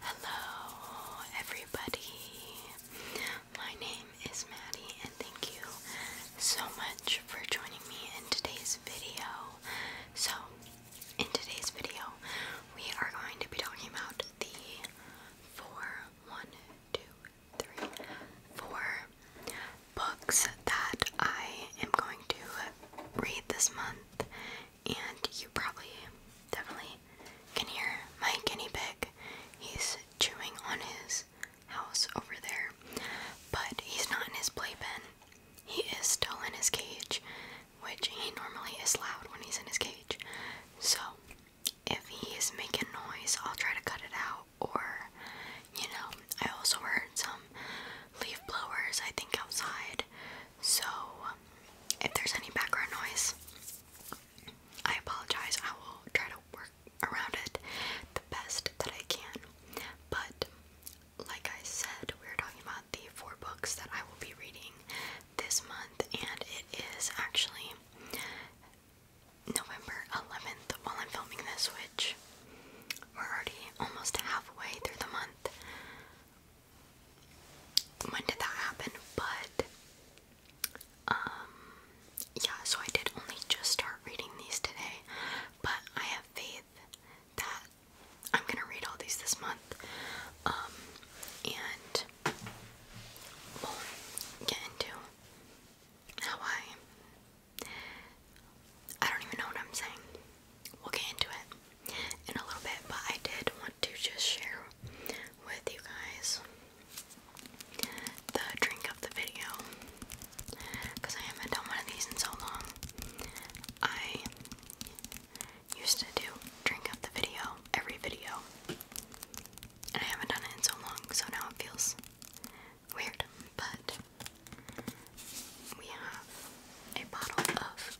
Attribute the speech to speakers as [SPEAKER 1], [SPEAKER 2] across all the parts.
[SPEAKER 1] Hello, everybody. My name is Maddie, and thank you so much for joining me in today's video. So, in today's video, we are going to be talking about the four, one, two, three, four books that I am going to read this month and you probably definitely can hear my guinea pig. He's chewing on his house over there, but he's not in his play pen. He is still in his cage, which he normally is loud when he's in his cage. So, if he is making noise, I'll try to cut it out, or you know, I also heard some leaf blowers, I think, outside. So, um, if there's any background noise, I apologize. I will try to work around it the best that I can. But, like I said, we're talking about the four books that I will be reading this month, and it is actually November 11th while I'm filming this, which we're already almost halfway through the month when did that happen, but um, yeah, so I did only just start reading these today, but I have faith that I'm gonna read all these this month. Um, and get into how I I don't even know what I'm saying we'll get into it in a little bit, but I did want to just share with you guys the drink of the video because I haven't done one of these in so long. I used to do drink of the video every video, and I haven't done it in so long, so now it feels weird, but we have a bottle of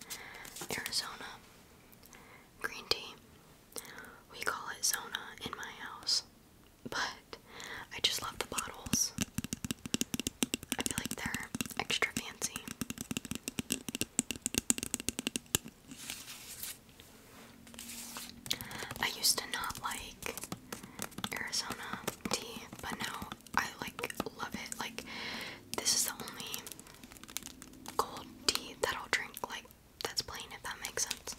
[SPEAKER 1] Arizona green tea. We call it Zona in my house, but I just love the bottles. I feel like they're extra fancy. I used to not like Arizona tea, but now I like love it. Like this is the only cold tea that I'll drink, like that's plain, if that makes sense.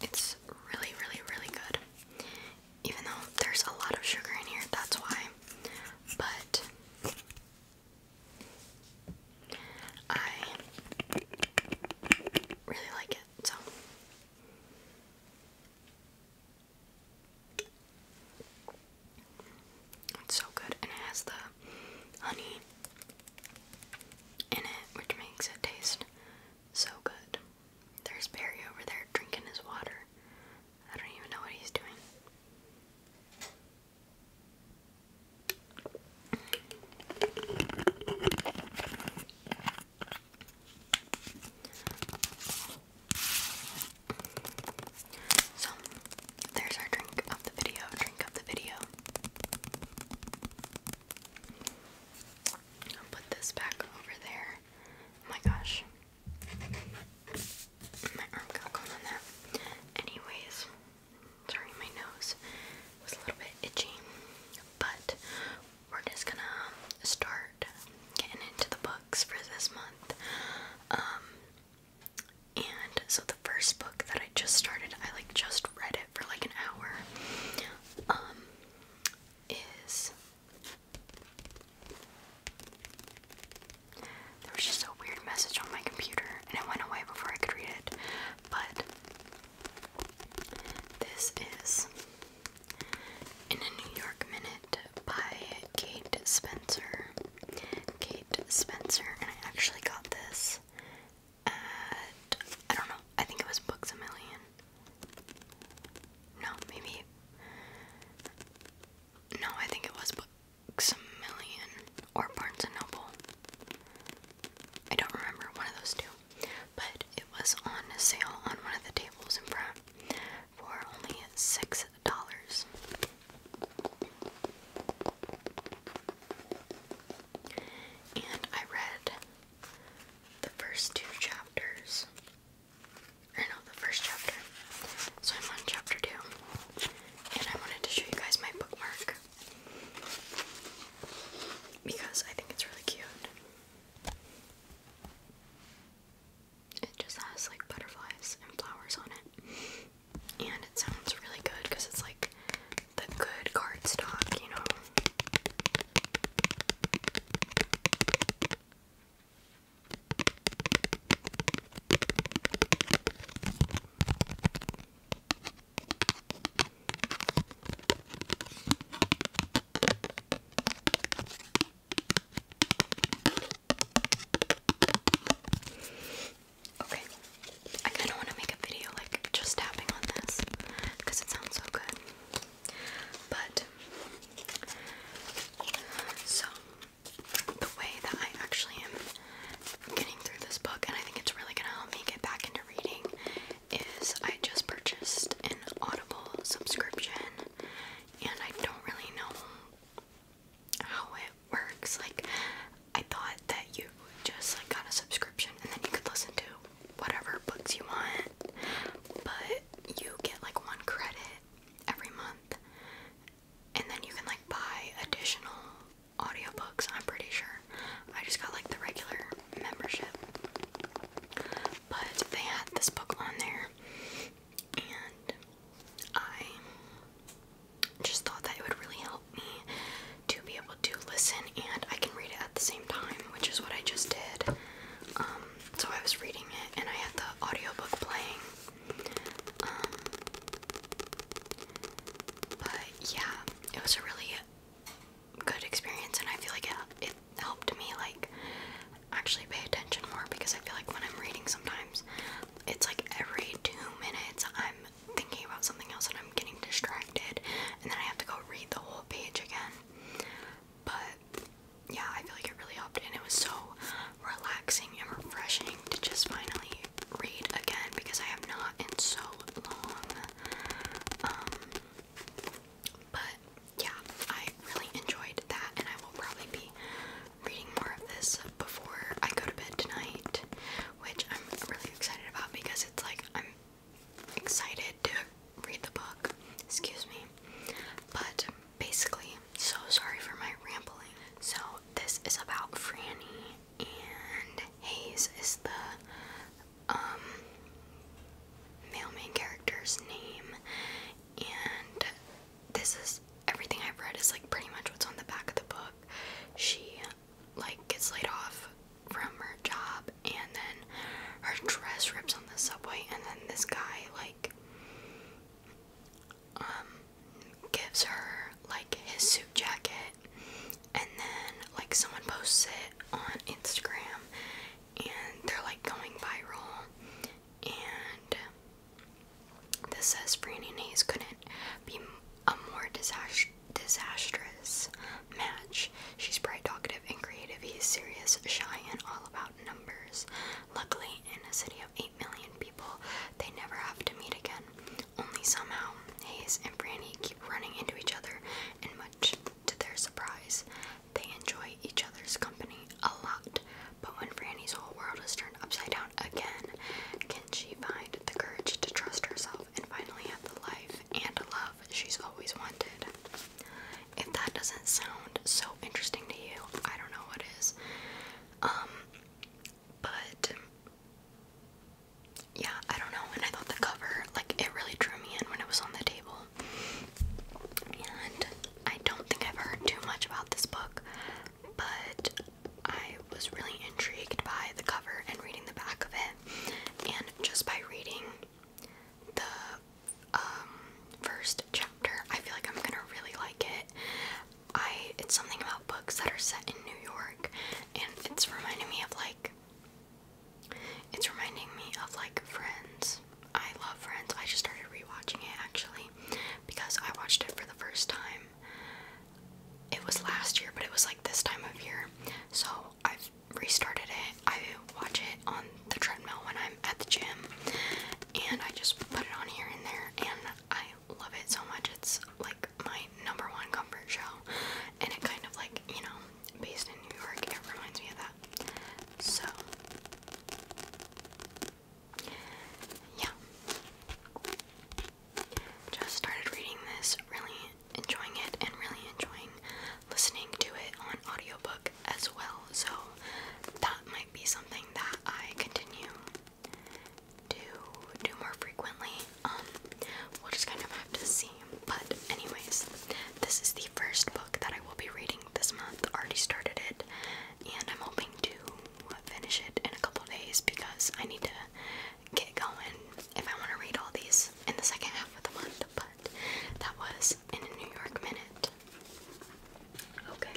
[SPEAKER 1] It's really, really, really good. Even though there's a lot of sugar in here, that's why. But I really like it, so. It's so good, and it has the honey in it, which makes it taste so good. There's Barry over there drinking his water. I don't even know what he's doing. So, there's our drink of the video, drink of the video. I'll put this back over there. Oh my gosh. My arm got caught on that. Anyways, sorry, my nose was a little bit itchy. But we're just gonna start getting into the books for this month. Um, and so the first book that I just started, I like just read it for like an hour. Um is there was just a weird message on my computer and it went away before I could read it. But this is In a New York Minute by Kate Spencer. Kate Spencer, and I actually got this at I don't know, I think it was Books a Million. No, maybe No, I think it was Books a Million or Barnes and Noble. I don't remember one of those two. But it was on sale on one of the tables in front for only six dollars. And I read the first two chapters. Or no, the first chapter. So I'm on chapter two. And I wanted to show you guys my bookmark. Because I think it's really cute. It just has like butterflies and flowers on it and it sounds really good because it's like the good cardstock, you know. Okay. I kind of want to make a video like just tapping on this because it sounds so good. But so the way that I actually am getting through this book, and I think it's really gonna help me get back into reading, is I just purchased an Audible subscription, and I don't really know how it works. Like, I thought that you just like got a subscription and then you could listen to whatever books you want, but you get like one credit every month, and then you can like buy additional audiobooks. I'm pretty sure. I just got like the regular membership, but they had this book on there, and I just thought that it would really help me to be able to listen and I can read it at the same time, which is what I just did. Um, so I was reading it and I had the audiobook playing. Um, but yeah, it was a really good experience and I feel like it, it helped me like actually pay attention more because I feel like when I'm reading sometimes it's like every two minutes I'm thinking about something else and I'm getting distracted, and then I have to go read the whole page again. But yeah, I feel like it really helped, and it was so relaxing and refreshing to just finally read again because I have not in so long. Um, but yeah, I really enjoyed that, and I will probably be reading more of this before I go to bed tonight, which I'm really excited about because it's like I'm excited to read the book. Excuse me. But basically, so sorry for my rambling. So, this is about Franny, and Hayes is the um, male main character's name. And this is everything I've read is like pretty much what's on the back of the book she like gets laid off from her job and then her dress rips on the subway and then this guy like um gives her like his suit jacket and then like someone posts it on Instagram and they're like going viral and this says Franny Hayes couldn't be a more disastrous match. She's bright, talkative, and creative. He's serious, shy, and all about numbers. Luckily, in a city of 8 million people, they never have to meet again. Only somehow, Hayes and Franny keep running into each other, and much to their surprise, they enjoy each other's company a lot. But when Franny's whole world is turned upside down again, can she find the courage to trust herself and finally have the life and love she's always wanted? If that doesn't sound so interesting to you, I don't know what is. Um, but yeah, I don't know. And I thought the cover, like, it really drew me in when it was on the table. And I don't think I've heard too much about this book, but I was really intrigued by the cover and reading the back of it, and just by reading the um, first chapter, I feel like I'm gonna really like it. I it's something about books that are set in New York, and it's reminding me of like it's reminding me of like Friends. I love Friends. I just started rewatching it actually because I watched it for the first time it was last year, but it was like this time of year. So I've restarted it. I watch it on the treadmill when I'm at the gym, and I just put it on here and there, and I love it so much. It's like my number one comfort show, and it kind of like you know, based in New York, it reminds me of that. So, yeah. Just started reading this, really enjoying it, and really enjoying listening to it on audiobook as well. So that might be something that I continue to do more frequently. Um, we'll just kind of have to see. But anyways, this is the first book that I will be reading this month. Already started it, and I'm hoping to finish it in a couple days because I need to get going if I want to read all these in the second half of the month, but that was in a New York minute. Okay.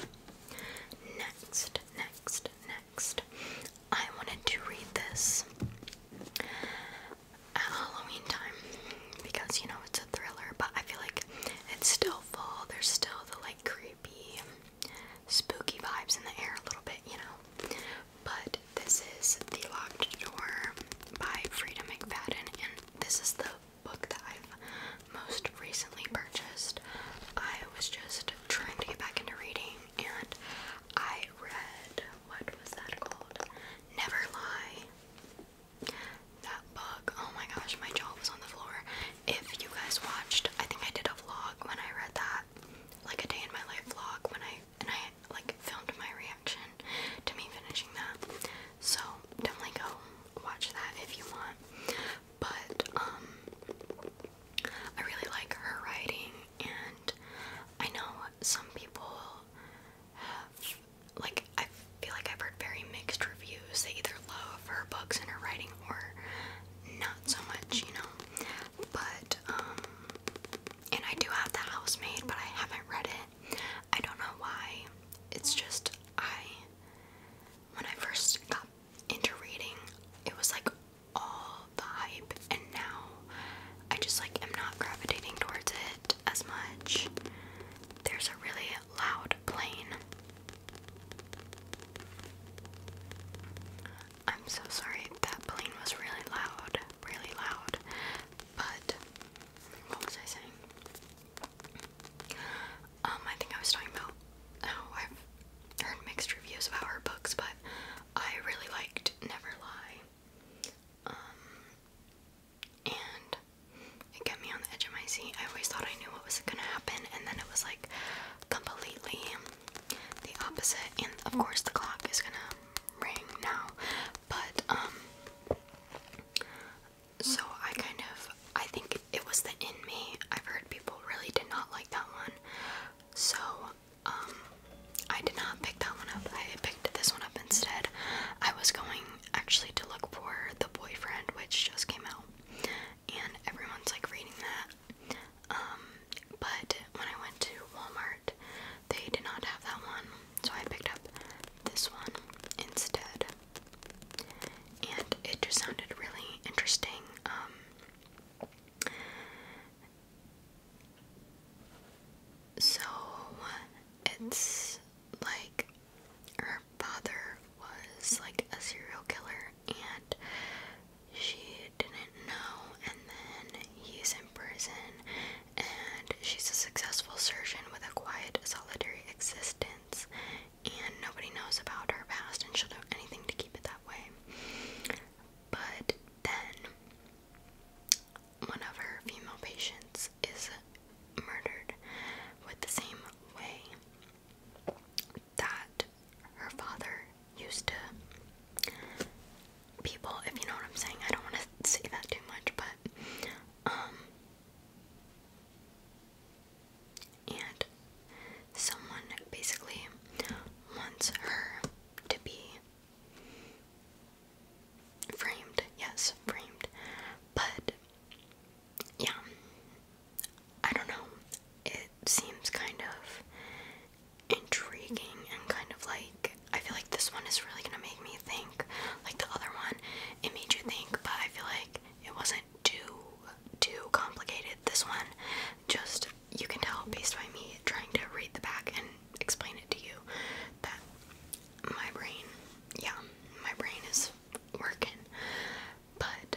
[SPEAKER 1] Next, next, next. I wanted to read this at Halloween time because you know it's a thriller, but I feel like it's still fall. There's still the like creepy spooky vibes in the air a little bit, you know. But this is The Locked Door by Frida McFadden, and this is the book that I've most recently purchased. I was just trying to get back into reading, and I read what was that called? Never Lie. That book, oh my gosh, my jaw was on the floor. If you guys watched, I think I did a vlog when I read that like a day in my life vlog when I and I like filmed my reaction to me finishing that. So definitely go watch that if you want. But um I really like her writing and I know some people have like I feel like I've heard very mixed reviews. They either love her books and her writing or not so much, you know. But um and I do have The made, but I haven't read it. I don't know why. It's just I when I first got into reading, it was like all the hype, and now I just like am not gravitating towards it as much. There's a really loud plane. I'm so sorry. That plane was really loud, really loud. But what was I saying? Um, I think I was talking about how I've heard mixed reviews about her books, but I really liked Never Lie. Um, and it kept me on the edge of my seat. I always thought I knew what was gonna happen, and then it was like completely the opposite and of course the clock is gonna ring now but um so I kind of I think it was the in me I've heard people really did not like that one so um I did not pick that one up I picked this one up instead I was going actually to look for the boyfriend which just came out and everyone's like reading that um, but when I went to Walmart, they did not have that one, so I picked up this one instead. And it just sounded really interesting. Um, so it's like her father was like a serial killer, and she didn't know, and then he's in prison, and she's a successful surgeon with a quiet, solitary existence, and nobody knows about her past, and she'll do anything to keep it that way. But then, one of her female patients is murdered with the same way that her father used to people, if you know what I'm saying. I don't want to say that too much, but, um, and someone basically wants her to be framed, yes, framed, but yeah, I don't know, it seems kind of intriguing and kind of like I feel like this one is really gonna make me think. Like the other one, it made you think, but I feel like it wasn't too too complicated. This one, just you can tell based on me trying to read the back and explain it to you that my brain, yeah, my brain is working. But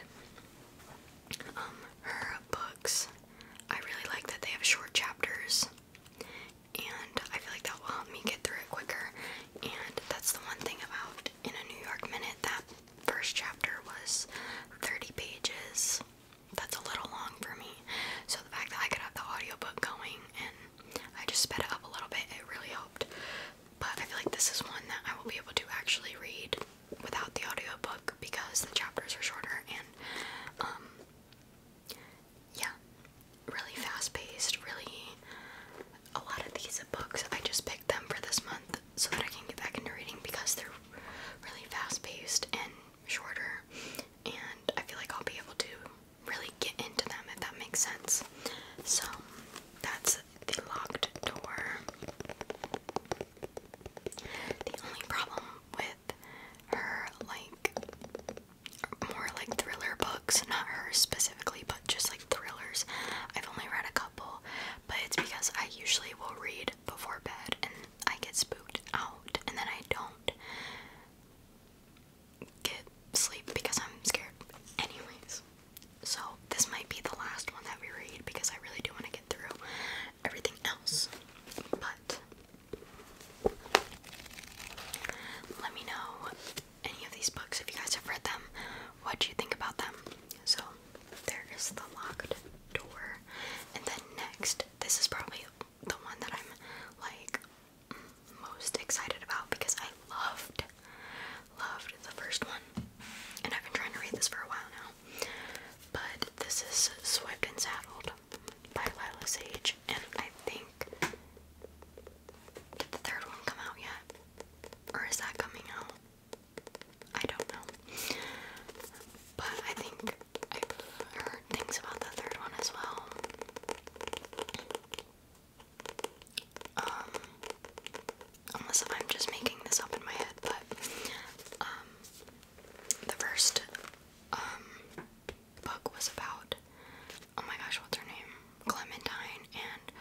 [SPEAKER 1] um her books I really like that they have short chapters, and I feel like that will help me get through it quicker. And that's the one thing about In a New York Minute that first chapter was 30 pages. That's a little long for me. So the fact that I could have the audiobook going and I just sped it up a little bit, it really helped. But I feel like this is one that I will be able to actually read without the audiobook because the chapters are shorter and um, yeah, really fast paced, really a lot of these books I just picked them for this month so that I can get back into reading because they're really fast paced and shorter and I feel like I'll be able to really get into them if that makes sense. So that's the locked door. The only problem with with her like more like thriller books, not her specifically, but just like thrillers. I've only read a couple, but it's because I usually will read before bed and I get spooked out and then I don't get sleep because I'm scared. Anyways, so this might be the last one that we read because I really do want to get through everything else. But let me know any of these books if you guys have read them. What do you think about them? So there is the locked door, and then next, this is probably the one that I'm like most excited about because I loved, loved the first one, and I've been trying to read this for a while now. But this is Swept and Saddled by Lila and I think did the third one come out yet? Or is that coming out? I don't know. But I think I've heard things about the third one as well. Um, unless I'm just making this up in my head, but um, the first um book was about. Oh my gosh, what's her name? Clementine and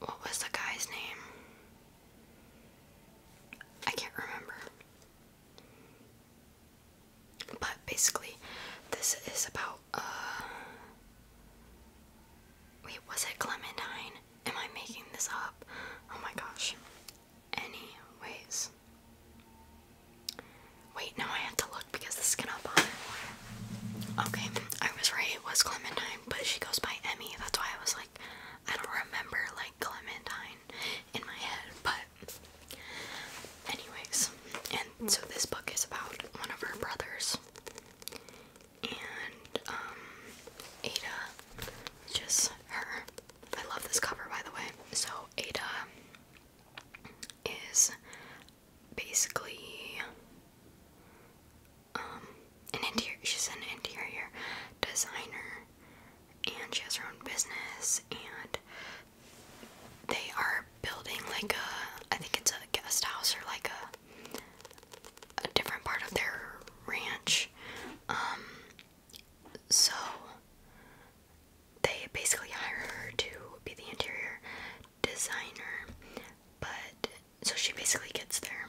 [SPEAKER 1] what was the guy's name? I can't remember. But basically, this is about uh Wait, was it Clementine? Am I making this up? Oh my gosh. Anyways, Wait, no, I have to look because this is gonna bother. Okay, I was right, it was Clementine, but she goes by Emmy. That's why I was like, I don't remember like Clementine in my head, but anyways, and so this book is about one of her brothers. And um Ada, just her. I love this cover by the way. So Ada is basically um, an interior she's an interior designer and she has her own business and they are building like a I think it's a guest house or like a a different part of their ranch um, so they basically hire her to be the interior designer, but so she basically gets there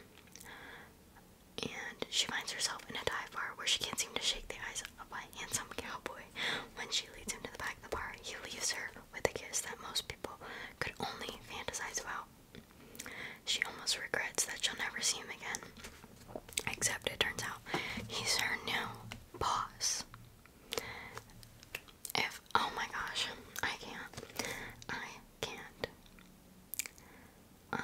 [SPEAKER 1] and she finds herself in a dive bar where she can't seem to shake the eyes of a handsome cowboy. When she leads him to the back of the bar, he leaves her with a kiss that most people could only fantasize about. She almost regrets that she'll never see him again. Except it turns out he's her new boss. If oh my gosh, I can't. I can't. Um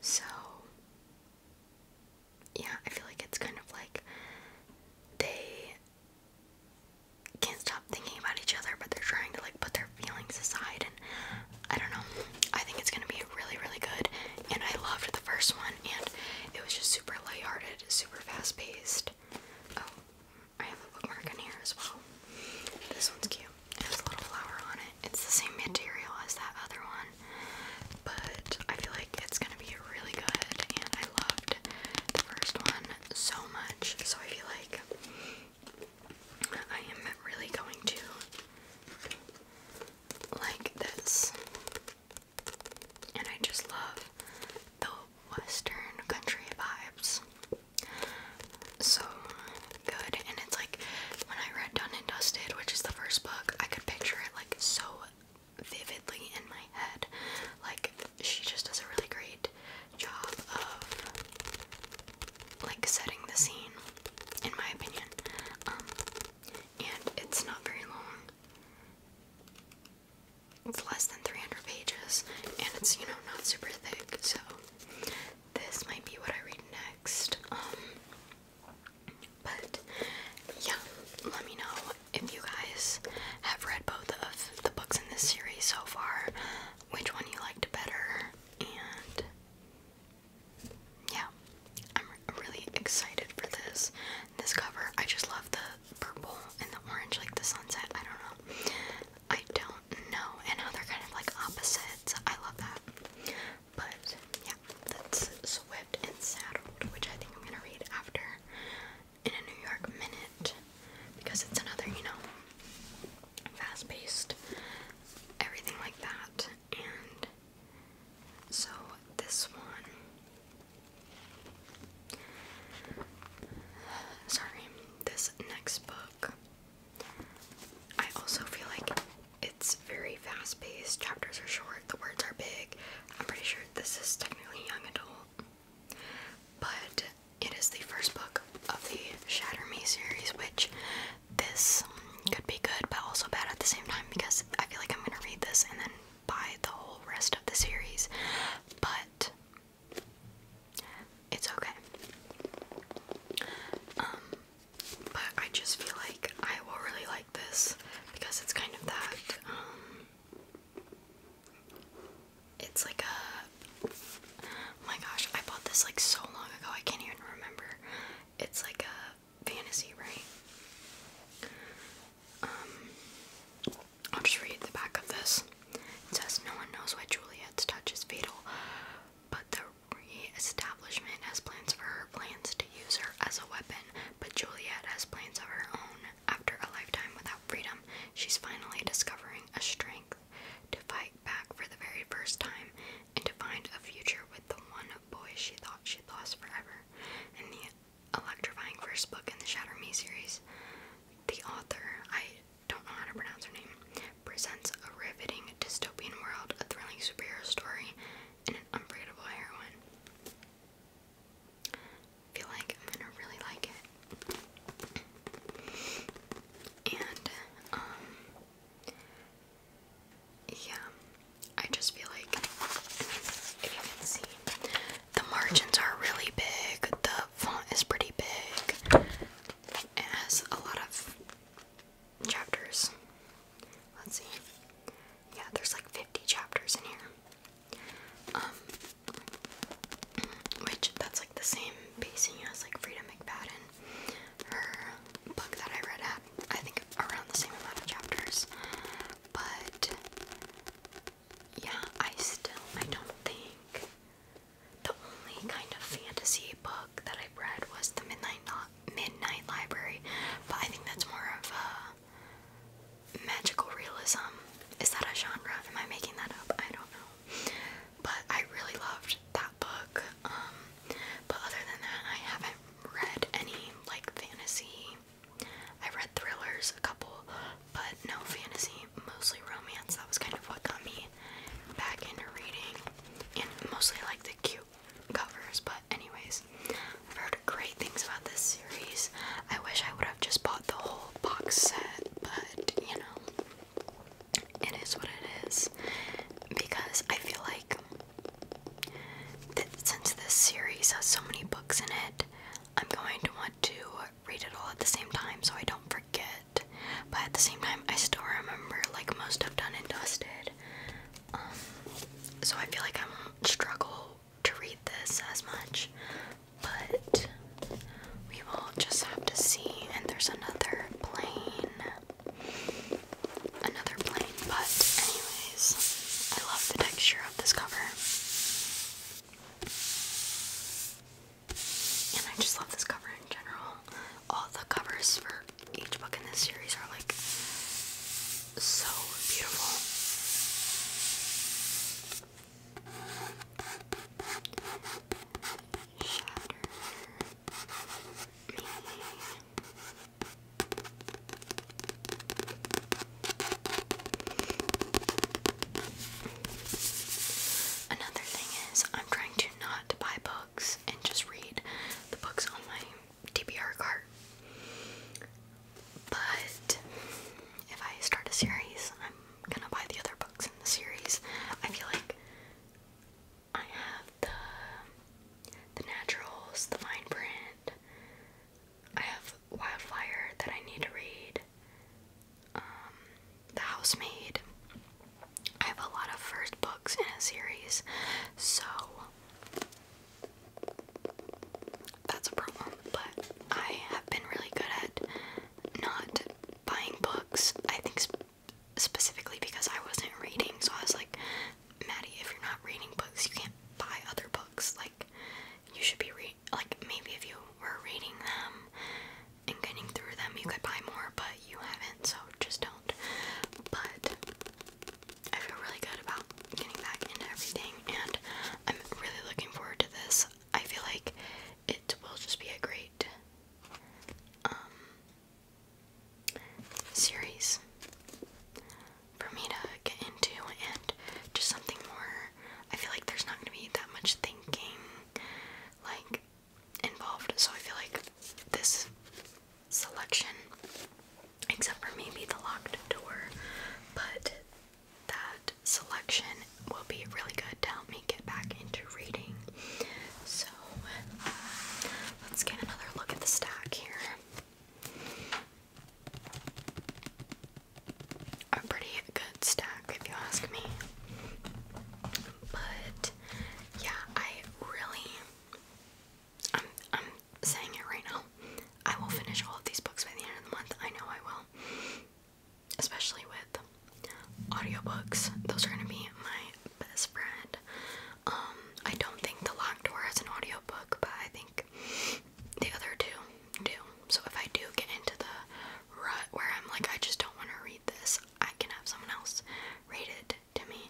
[SPEAKER 1] so yeah, I feel like it's kind of like they can't stop thinking about each other, but they're trying to like put their feelings aside and I don't know. I think it's gonna be really, really good. And I loved the first one, and it was just super lighthearted, super fast paced. Oh, I have a bookmark in here as well. This one's cute. It has a little flower on it. It's the same material as that other one, but I feel like it's gonna be really good. And I loved the first one so much, so I feel like I am really going to like this. And I just love the western country vibes. So good. And it's like when I read Done and Dusted, which is the first book, I could picture it like so vividly in my head. Like she just does a really great job of like setting the scene, in my opinion. Um, and it's not very long. It's less than 300 pages, and it's, you know, not super thick, so this might be what I read next. Um, but yeah, let me know if you guys have read both of the books in this series so far, which one you liked better, and yeah, I'm really excited for this. This cover, I just love the purple and the orange, like the sunset. I don't know. I don't know. And how they're kind of like opposites. I love that. But yeah, that's Swift and Saddled, which I think I'm gonna read after in a New York minute because it's another, you know, fast paced everything like that. And so this one, sorry, this next book, I also feel like it's very fast paced, chapters are short, the words are big. I'm pretty sure this is technically young adult, but it is the first book of the Shatter Me series, which this could be good but also bad at the same time because I feel like I'm gonna read this and then buy the whole rest of the series. But it's okay. Um, but I just feel like I will really like this because it's kind of that. Um, it's like a. my gosh, I bought this like so long ago, I can't even remember. It's like a fantasy, right? Um, I'll just read the back of this. It says, No one knows why Juliet's touch is fatal, but the re establishment has plans for her plans to use her as a weapon. But Juliet has plans of her own. After a lifetime without freedom, she's finally discovering a strength to fight back for the very first time and to find a future with the one boy she thought she'd lost forever. In the electrifying first book in the Shatter Me series, the author, I don't know how to pronounce her name, presents a riveting dystopian world, a thrilling superhero story, and an unforgettable heroine. I feel like I'm gonna really like it. And, um, yeah, I just feel like, the margins are really big, the font is pretty big, it has a lot of chapters. Let's see. Yeah, there's like 50 chapters in here. Um, which that's like the same pacing as like Frida McFadden, her book that I read had I think around the same amount of chapters. But yeah, I still I don't think the only kind of fantasy book that i read was the Midnight Midnight Library, but I think that's more of a magical realism. Is that a genre? Am I making that up? I don't know. But I really loved that book. Um, but other than that, I haven't read any like fantasy. I read thrillers, a couple, but no fantasy, mostly romance. That was kind of what got me back into reading. And mostly like the cute covers, but anyways, I've heard great things about this series. I wish I would have just bought the whole box set, but you know, it is what it is because I feel like since this series has so many books in it, I'm going to want to read it all at the same time so I don't forget. But at the same time, I still remember like most of Done and Dusted. Um, so I feel like I won't struggle to read this as much. But we will just have to see. And there's another plane another plane, but anyways, I love the texture of this cover. And I just love this cover in general. All the covers for each book in this series are like so beautiful. Another thing is, I'm trying to not buy books and just read the books on my TBR cart. But if I start a series, I'm gonna buy the other books in the series. I feel like I have the the naturals, the fine print. I have Wildfire that I need to read. Um, the Housemaid. I have a lot of first books in a series, so that's a problem. But I have been really good at not buying books. I think specifically because I wasn't reading, so I was like, Maddie, if you're not reading books, you can't buy other books. Like, you should be read. Like, maybe if you were reading them um, and getting through them, you could buy more, but you haven't, so just don't. But I feel really good about getting back into everything, and I'm really looking forward to this. I feel like it will just be a great um, series for me to get into and just something more I feel like there's not gonna be that much thinking like involved so I feel like this selection except for maybe the locked door but that selection will be really good to help me get back into reading. So uh, let's get another look at the stack here a pretty good stack if you ask me. But yeah, I really I'm I'm saying it right now. I will finish all of these books by the end of the month. I know I will. Especially with audiobooks. Those are gonna be my best friend. Um, I don't think The Locked has an audiobook, but I think the other two do. So if I do get into the rut where I'm like, I just don't want to read this, I can have someone else read it to me.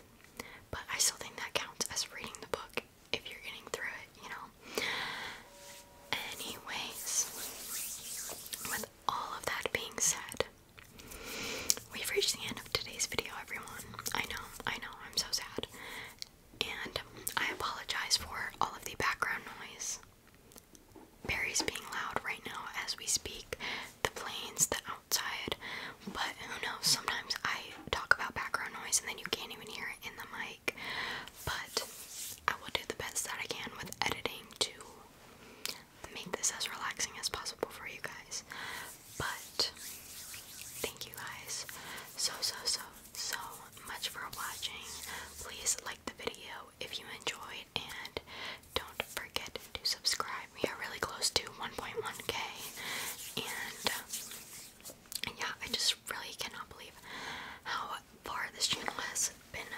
[SPEAKER 1] But I still think that counts as reading the book if you're getting through it, you know? Anyways, with all of that being said, We've reached the end of today's video, everyone. I know, I know, I'm so sad. And I apologize for all of the background noise. Barry's being loud right now as we speak. The planes, the outside, but who knows? Sometimes I talk about background noise and then you can't even hear it in the mic. But I will do the best that I can with editing to make this as relaxing as possible for you guys. But thank you guys so, so, so, so much for watching. Please like the video if you enjoyed, and don't forget to subscribe. We are really close to 1.1k, and uh, yeah, I just really cannot believe how far this channel has been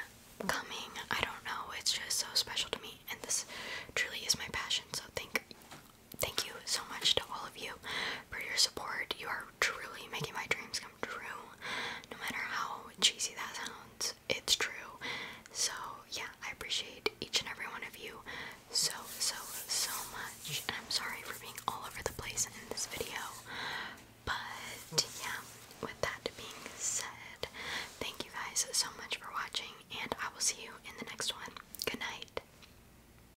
[SPEAKER 1] coming. I don't know, it's just so special to me, and this truly is my passion. So, thank thank you so much to all of you for your support. You are truly making my dreams come true. No matter how cheesy that sounds, it's true. So, yeah, I appreciate each and every one of you so, so, so much. And I'm sorry for being all over the place in this video. But, yeah, with that being said, thank you guys so much for watching, and I will see you in the next one. Good night.